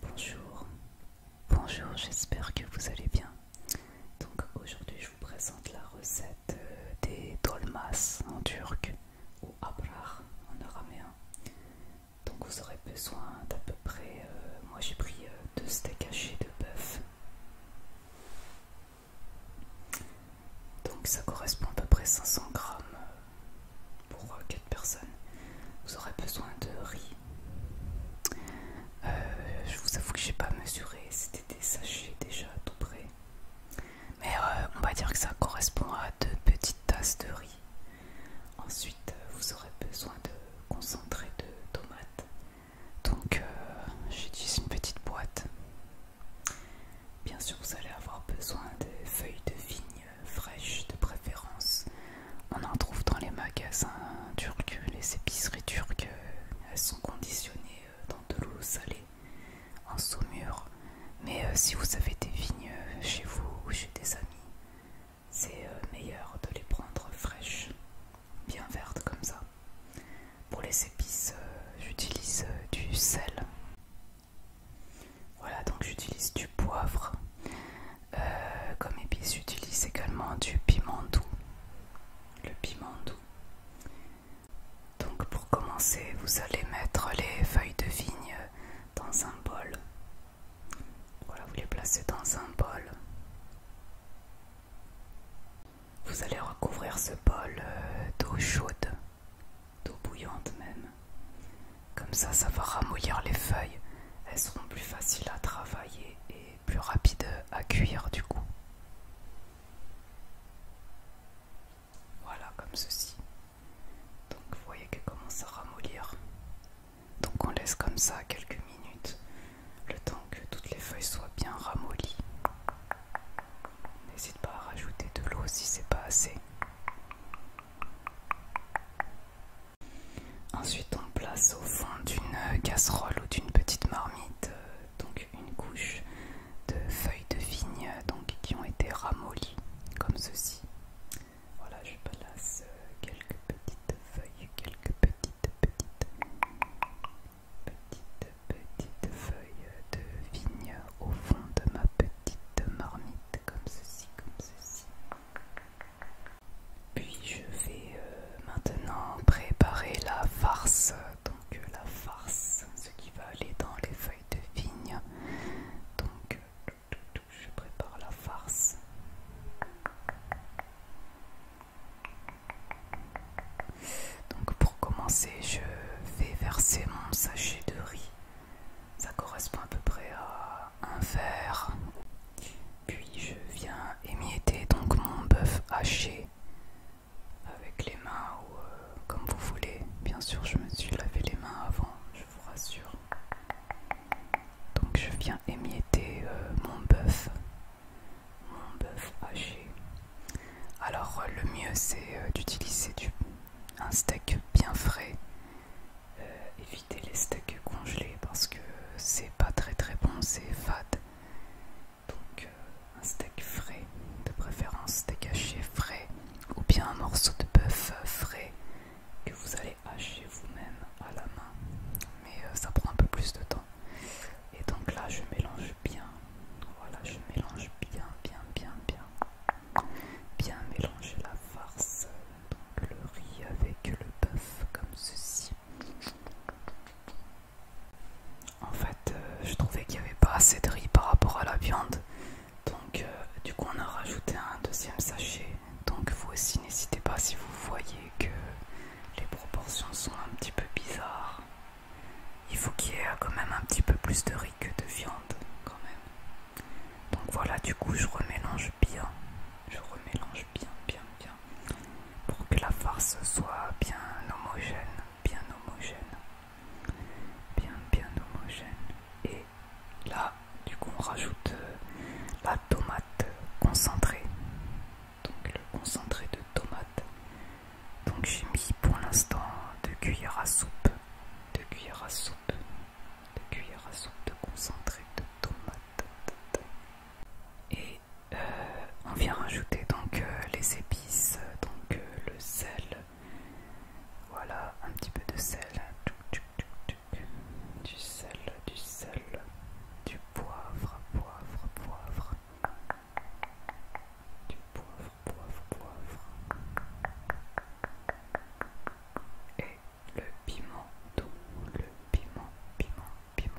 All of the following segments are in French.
Bonjour, bonjour, j'espère que vous allez bien. Donc aujourd'hui je vous présente la recette euh, des dolmas en turc ou abrar en araméen. Donc vous aurez besoin d'à peu près, euh, moi j'ai pris euh, deux steaks hachés de bœuf. Donc ça correspond à peu près 500 grammes pour 4 euh, personnes. Vous aurez besoin de riz. Euh, je vous avoue que j'ai pas mesuré, c'était des sachets déjà à tout près. Mais euh, on va dire que ça correspond à deux petites tasses de riz. Ensuite, vous aurez besoin de concentré de tomates. Donc, j'ai j'utilise une petite boîte. Bien sûr, vous allez avoir besoin de feuilles de vigne euh, fraîches de préférence. On en trouve dans les magasins turcs, les épiceries turques, euh, elles sont conditionnées euh, dans de l'eau salée, en saumure. Mais si vous avez des vignes chez vous ou chez des amis, c'est meilleur de les prendre fraîches, bien vertes comme ça. Pour les épices, j'utilise du sel. Voilà, donc j'utilise du poivre. Euh, comme épice, j'utilise également du piment doux. Le piment doux. Donc pour commencer, vous allez mettre les feuilles de vigne dans un bol. Voilà, vous les placez dans un bol. Vous allez recouvrir ce bol euh, d'eau chaude, d'eau bouillante même. Comme ça, ça va ramollir les feuilles. Elles seront plus faciles à travailler et plus rapides à cuire du coup. Voilà, comme ceci. Donc vous voyez qu'elle commence à ramollir. Donc on laisse comme ça quelques minutes, le temps que toutes les feuilles soient bien ramollies. N'hésite pas à rajouter de l'eau si c'est pas assez. Ensuite, on place au fond d'une casserole ou d'une petite marmite euh, donc une couche de feuilles de vigne euh, qui ont été ramollies comme ceci. Voilà, je place euh, quelques petites feuilles, quelques petites, petites, petites, petites feuilles de vigne au fond de ma petite petite marmite, comme ceci, comme ceci. Puis je vais euh, maintenant préparer la farce. Donc euh, la farce, ce qui va aller dans les feuilles de vigne. Donc euh, tout, je prépare la farce. Donc pour commencer, je vais verser mon sachet de riz ça correspond à peu près à un verre. Puis je viens émietter donc mon bœuf haché avec les mains ou euh, comme vous voulez. Bien sûr, je me suis lavé les mains avant, je vous rassure. Donc je viens émietter euh, mon bœuf, mon bœuf haché. Alors le mieux c'est euh, d'utiliser du un steak bien frais euh, éviter les steaks congelés parce que c'est pas très très bon, c'est fade. Donc euh, un steak frais, de préférence steak haché frais ou bien un morceau de bœuf euh, frais que vous allez hacher vous-même à la main. Mais ça prend un peu plus de temps. Et donc là je mélange bien. Voilà, je mélange bien, bien, bien, bien. Bien mélanger la farce, donc le riz avec le bœuf comme ceci. En fait, euh, je trouvais qu'il n'y avait pas assez de riz par rapport à la viande. Donc, euh, du coup, on a rajouté un deuxième sachet. Donc, vous aussi, n'hésitez pas si vous voyez que les proportions sont un petit peu bizarres. Il faut qu'il y ait quand même un petit peu plus de riz que de viande, quand même. Donc voilà, du coup, je remélange bien. Je remélange bien, bien, bien. Pour que la farce soit bien homogène. Bien homogène. Bien, bien homogène. Et là, du coup, on rajoute euh, la tomate concentrée. Donc le concentré de tomate. Donc j'ai mis pour l'instant deux cuillères à soupe. de cuillères à soupe de cuillère à soupe de concentré de tomate. Et euh, on vient rajouter donc euh, les épices, donc euh, le sel. Voilà, un petit peu de sel. Du sel, du sel, du poivre, poivre, poivre. Du poivre poivre, poivre. Et le piment doux, le piment, piment, piment.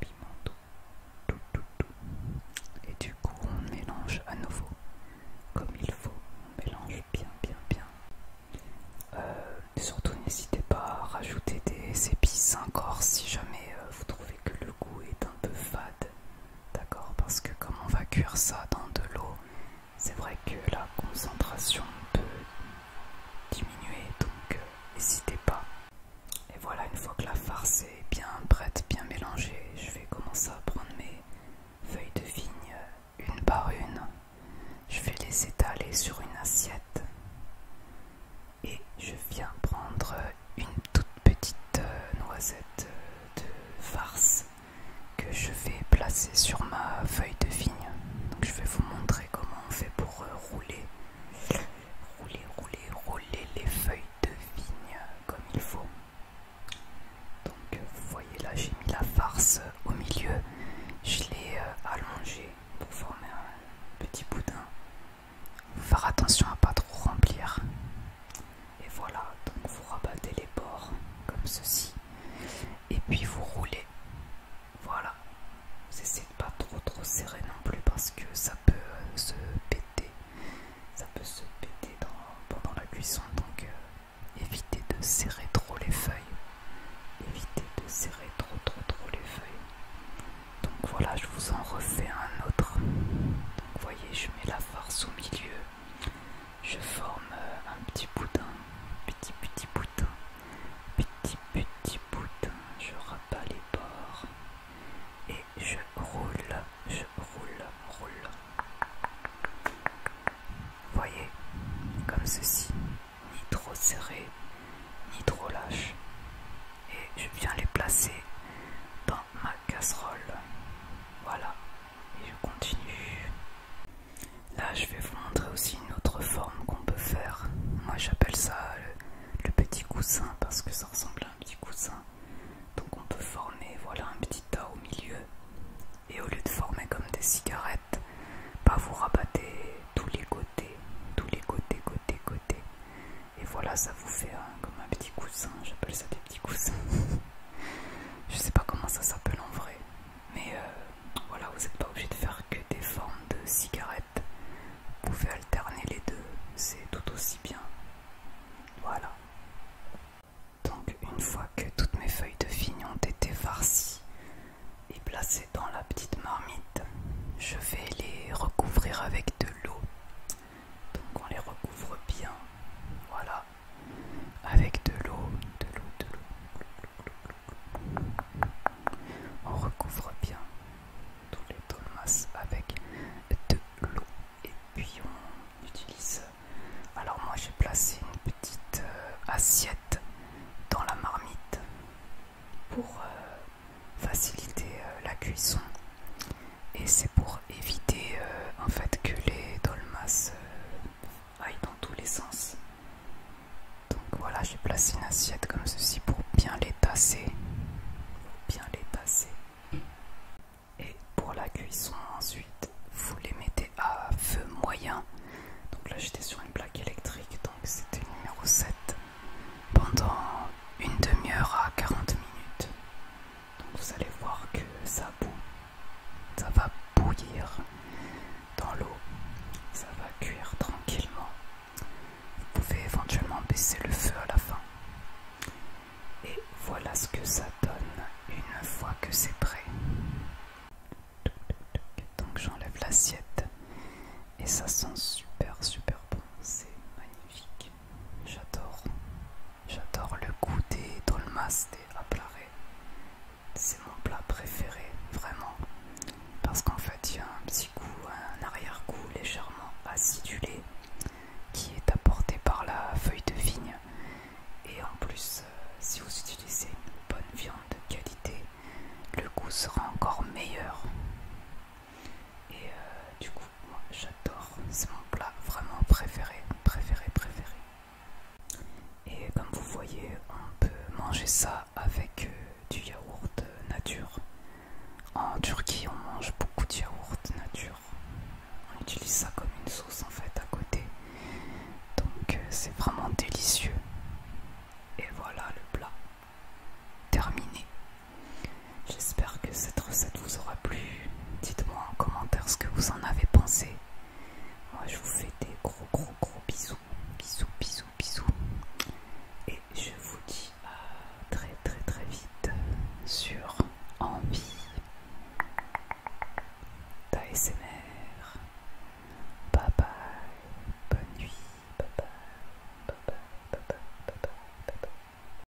Piment doux, tout, tout, tout. Et du coup, on mélange à nouveau comme il faut. On mélange bien, bien, bien. Euh, surtout, n'hésitez pas à rajouter des épices encore si jamais euh, vous trouvez que le goût est un peu fade. D'accord Parce que comme on va cuire ça dans de l'eau, c'est vrai que la concentration peut diminuer, donc euh, n'hésitez pas. Et voilà, une fois que la farce est bien prête, bien mélangée, je vais commencer à prendre mes feuilles de vigne euh, une par une. Je vais les étaler sur une assiette et je viens prendre une toute petite euh, noisette de farce que je vais placer sur ma feuille de vigne. Donc je vais vous montrer comment on fait pour euh, rouler, rouler, rouler, rouler les feuilles de vigne comme il faut. Donc vous voyez là j'ai mis la farce euh, au milieu, je l'ai euh, allongée pour former un petit boudin. faire attention à pas trop remplir. Et voilà, donc vous rabattez les bords comme ceci. Et puis vous roulez. Voilà. Vous essayez de pas trop trop serrer non plus parce que ça peut euh, se péter. Ça peut se péter pendant la cuisson. Donc euh, évitez de serrer trop les feuilles. Évitez de serrer trop trop trop les feuilles. Donc voilà, je vous en refais un autre. Donc voyez, je mets la farce au milieu je forme euh, un petit boudin, petit petit boudin, petit petit boudin, je rabats les bords et je roule, je roule, roule. Voyez, comme ceci, ni trop serré, ni trop lâche. Et je viens les placer dans ma casserole. Voilà, et je continue. Là, je vais vous montrer aussi une autre forme qu'on peut faire. Moi, j'appelle ça le, petit coussin parce que ça ressemble à un petit coussin. Donc, on peut former, voilà, un petit tas au milieu. Et au lieu de former comme des cigarettes, pas vous rabattez tous les côtés, tous les côtés, côtés, côtés. Et voilà, ça vous fait comme un petit coussin. J'appelle ça des des Je sais pas comment ça s'appelle en vrai, mais euh, voilà, vous n'êtes pas obligé de faire que des formes de cigarettes. Vous pouvez alterner les deux, c'est tout aussi bien. Voilà. Donc une fois que toutes mes feuilles de vigne ont été farcies et placées dans la petite marmite, je vais les recouvrir avec de l'eau donc on les recouvre bien voilà avec de l'eau de l'eau de l'eau on recouvre bien tous les dolmas avec de l'eau et puis on utilise alors moi j'ai placé une petite euh, assiette dans la marmite pour euh, faciliter euh, la cuisson et c'est pour éviter euh, en fait que les dolmas euh, aillent dans tous les sens. Donc voilà, j'ai placé une assiette comme ceci pour bien les tasser, bien les tasser. Et pour la cuisson ensuite, vous les mettez à feu moyen. Donc là j'étais sur une plaque électrique, donc c'était numéro 7 pendant une demi-heure à 40 minutes vous allez voir que ça boue, ça va bouillir dans l'eau, ça va cuire tranquillement. Vous pouvez éventuellement baisser le feu à la fin. Et voilà ce que ça donne une fois que c'est prêt. Donc j'enlève l'assiette et ça sent super super bon, c'est magnifique, j'adore. J'adore le goût des dolmas, des aplarés. C'est mon plat préféré, vraiment. Parce qu'en fait, il y a un petit goût, un arrière-goût légèrement acidulé qui est apporté par la feuille de vigne. Et en plus, euh, si vous utilisez une bonne viande de qualité, le goût sera encore meilleur. Et euh, du coup, moi j'adore, c'est mon plat vraiment préféré, préféré, préféré. Et comme vous voyez, on peut manger ça avec euh, du yaourt nature. En Turquie, on mange beaucoup de yaourt nature. On utilise ça comme une sauce en fait à côté. Donc euh, c'est vraiment délicieux. Et voilà le plat terminé. J'espère que cette recette vous aura plu. Dites-moi en commentaire ce que vous en avez pensé. Moi je vous fais des gros gros gros bisous. Bisous bisous bisous. Et je vous dis à très très très vite sur Envie d'ASMR. Bye bye. Bonne nuit. Bye bye. Bye bye. Bye bye.